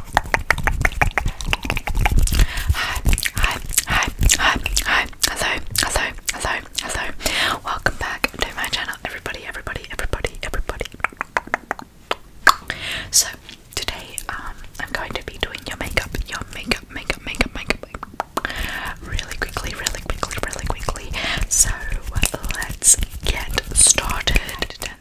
Hi, hi, hi, hi, hi. Hello, hello, hello, hello. Welcome back to my channel, everybody, everybody, everybody, everybody. So today, um, I'm going to be doing your makeup, your makeup, makeup, makeup, makeup, makeup really quickly, really quickly, really quickly. So let's get started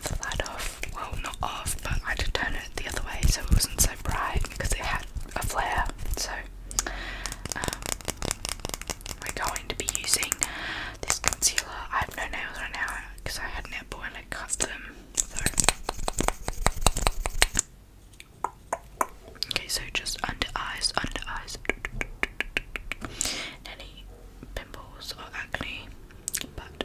turned the light off. Well, not off, but I did turn it the other way so it wasn't so bright because it had a flare. So, um, we're going to be using this concealer. I have no nails right now because I had an apple and I cut them. Okay, so just under eyes, under eyes, any pimples or acne, but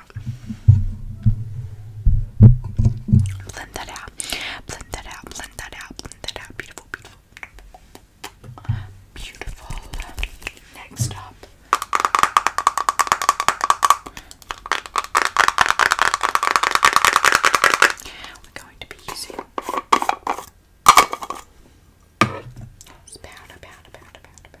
Blend that out. Blend that out. Blend that out. Blend that out. Beautiful, beautiful. Beautiful. Next up. We're going to be using powder, powder, powder, powder, powder.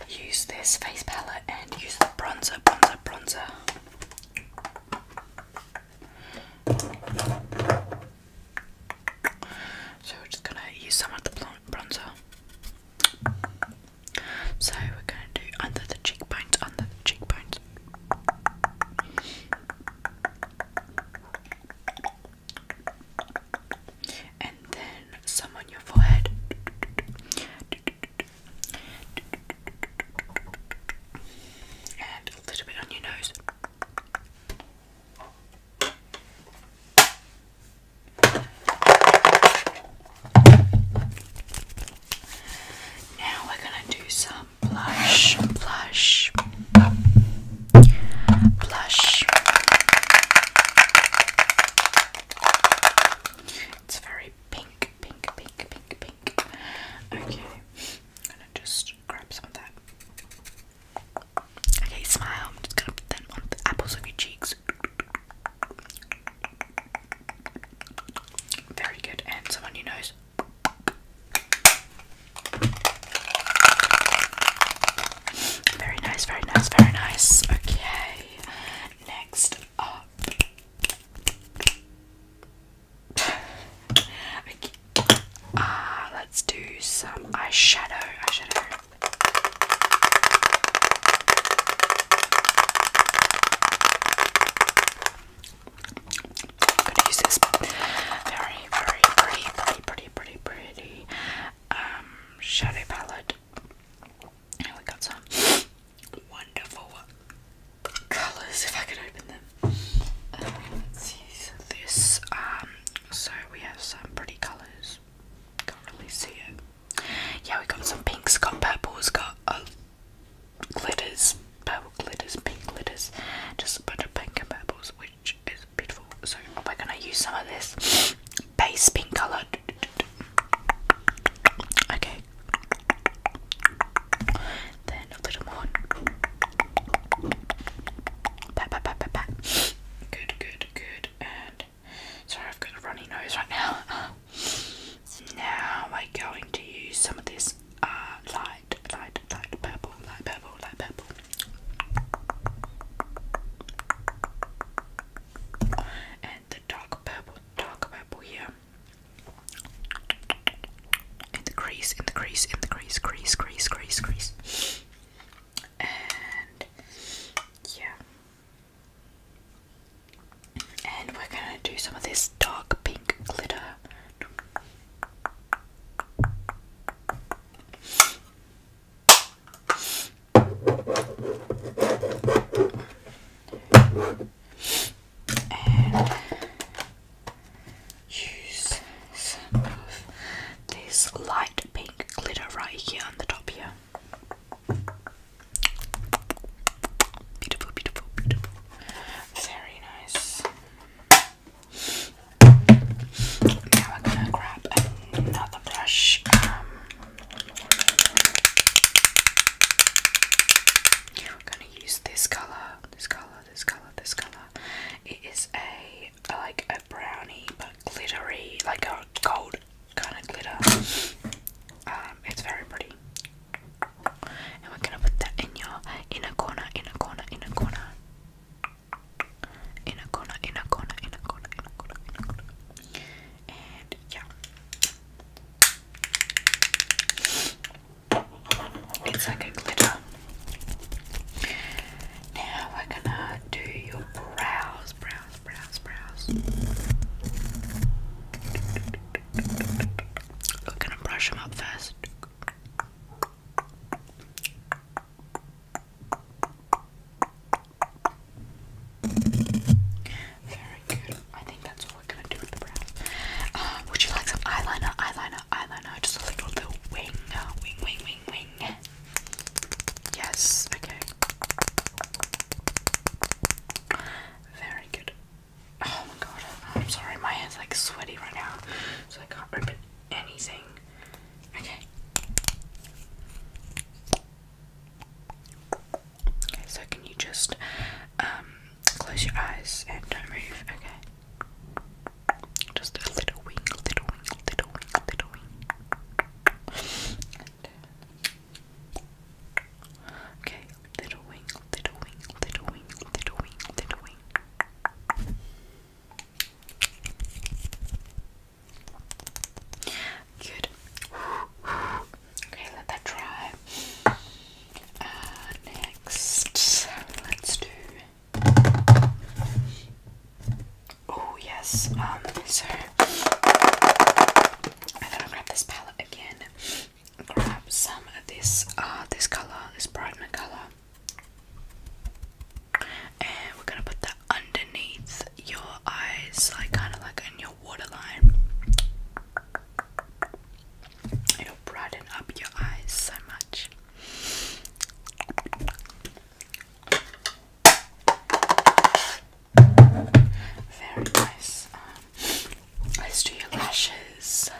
use this face palette and use the bronzer, bronzer, bronzer. So we're just gonna use some of the bronzer. So we're gonna do under the cheekbones, under the cheekbones and then some on your forehead. And a little bit on your nose. Now we're going to do some blush, blush, blush, blush. It's very pink, pink, pink, pink, pink. Okay, I'm gonna just grab some of that. Okay, smile. I'm just gonna put them on the apples of your cheeks. Very good. And some on your nose. Very nice, very nice, very nice. Okay, next up. okay. Ah, let's do some eyeshadow. Eyeshadow. gonna use this very, very pretty, pretty, pretty, pretty, pretty um, shadow palette. And we got some wonderful colours, if I could open them. Um, let's see this. Um, so we have some pretty colours. Can't really see it. Yeah, we got some pinks, got purples, got uh, glitters, purple glitters, pink glitters, just a bunch of pink and purples, which is beautiful. So we're gonna use some of this base pink colour. Okay. Then a little more. Good, good, good. And sorry, I've got a runny nose right now. Now we're going to use some of this uh, light, light, light purple, light purple, light purple and the dark purple, dark purple here. In the crease, in the crease, in the crease, crease, crease, crease, crease. And yeah. And we're gonna do some of this dark pink glitter and use some of this light pink glitter right here on the top here. Beautiful, beautiful, beautiful. Very nice. Now we're gonna grab not the brush. Um, i gonna use this color, this color, this color, this color. It is a like a brownie but glittery, like a gold kind of glitter. Um, it's very pretty. And we're gonna put that in your inner corner, inner corner, inner corner in a corner, in a corner, in a corner, in a corner, in a corner. And yeah. It's like a glitter. Now we're gonna do your brows, brows, brows, brows. We're gonna brush them up first. Very good. I think that's all we're gonna do with the brows. Um, would you like some eyeliner, eyeliner, eyeliner? Just a little, little wing, wing, wing, wing, wing. Yes. Okay. Very good. Oh my god. I'm sorry. My hair's like sweaty right now, so I can't open anything. Okay. Okay, so can you just um, close your eyes and don't move, okay? Just a little wing, little wing, little wing, little wing. And, uh, okay, little wing, little wing, little wing, little wing, little wing. Good. Okay, let that dry. Uh, next, let's do. Oh yes. Um. So I'm gonna grab this palette again. Grab some of this. Uh, this color, this brightener color and we're gonna put that underneath your eyes, like kind of like in your waterline. It'll brighten up your eyes so much. Very nice. Um, let's do your lashes.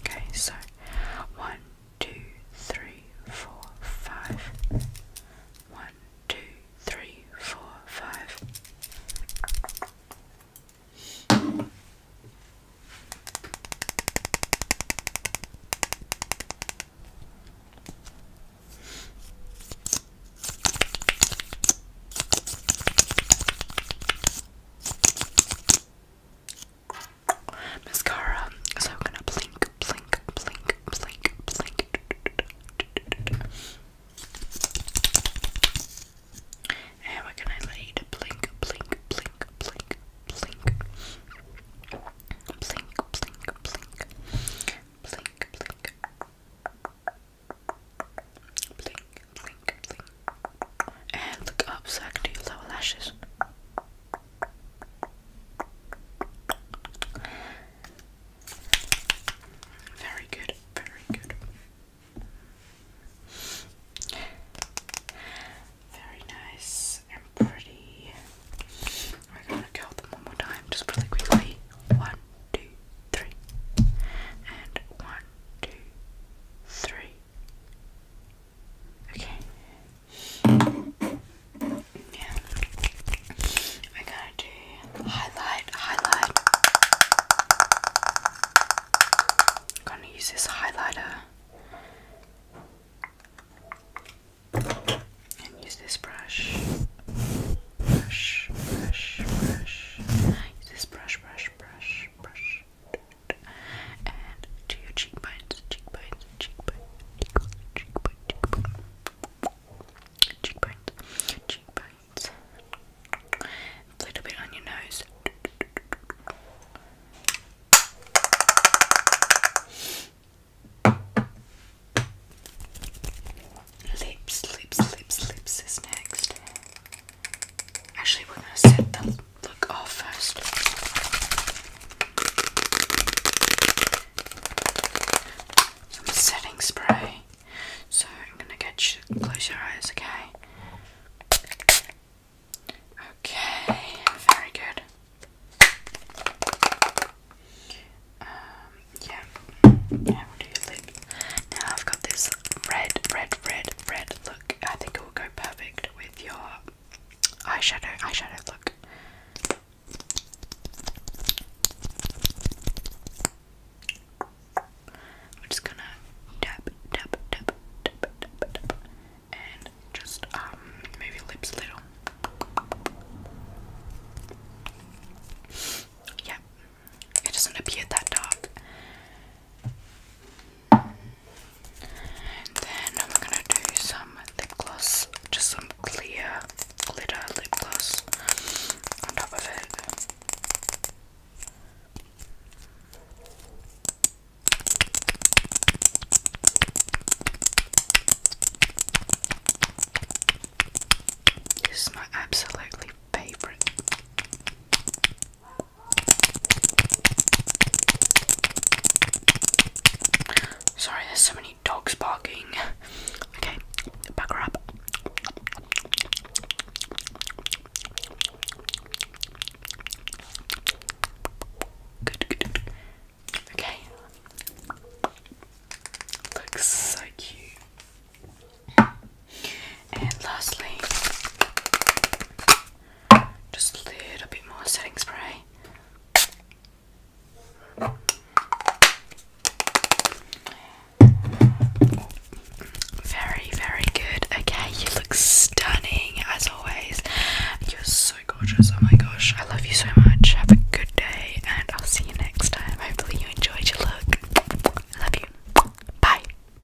Okay, so one, two, three, four, five. One, two, three, four, five mascara. So I'm gonna blink, blink, blink, blink, blink. And we're gonna let you blink, blink, blink, blink, blink. Blink, blink, blink. Blink, blink. Blink, and look up so I your lower lashes. Very good, very good. Very nice and pretty. We're gonna curl them one more time, just really quickly. One, two, three. And one, two, three. Okay. Yeah. We're gonna do highlight, highlight. gonna use this highlighter and use this brush. Brush, brush, brush. Use this brush, brush, brush, brush and to your cheekbones, cheekbones, cheekbones, cheekbones, cheekbones, cheekbones, cheekbones, cheekbones. A little bit on your nose. Lips, lips, lips, lips is next. Actually, we're gonna set the look off first. Some setting spray. So I'm gonna get you close your eyes, okay? Okay, very good. Um, yeah, yeah, we do your lip. Now I've got this red, red, red, red look. I think will go perfect with your eyeshadow eyeshadow look. I'm just gonna dab, dab, dab, dab, dab, dab, and just um lips a little. Yeah, it doesn't appear that dark. And then I'm gonna do some lip gloss, just some clear glitter lip gloss on top of it. This is my absolutely favorite. Sorry, there's so many dogs barking. Okay, back up. good, good. Okay. Looks so cute. And lastly, just a little bit more setting spray. Very, very good. Okay, you look stunning as always. You're so gorgeous. Oh my gosh, I love you so much. Have a good day, and I'll see you next time. Hopefully, you enjoyed your look. Love you. Bye.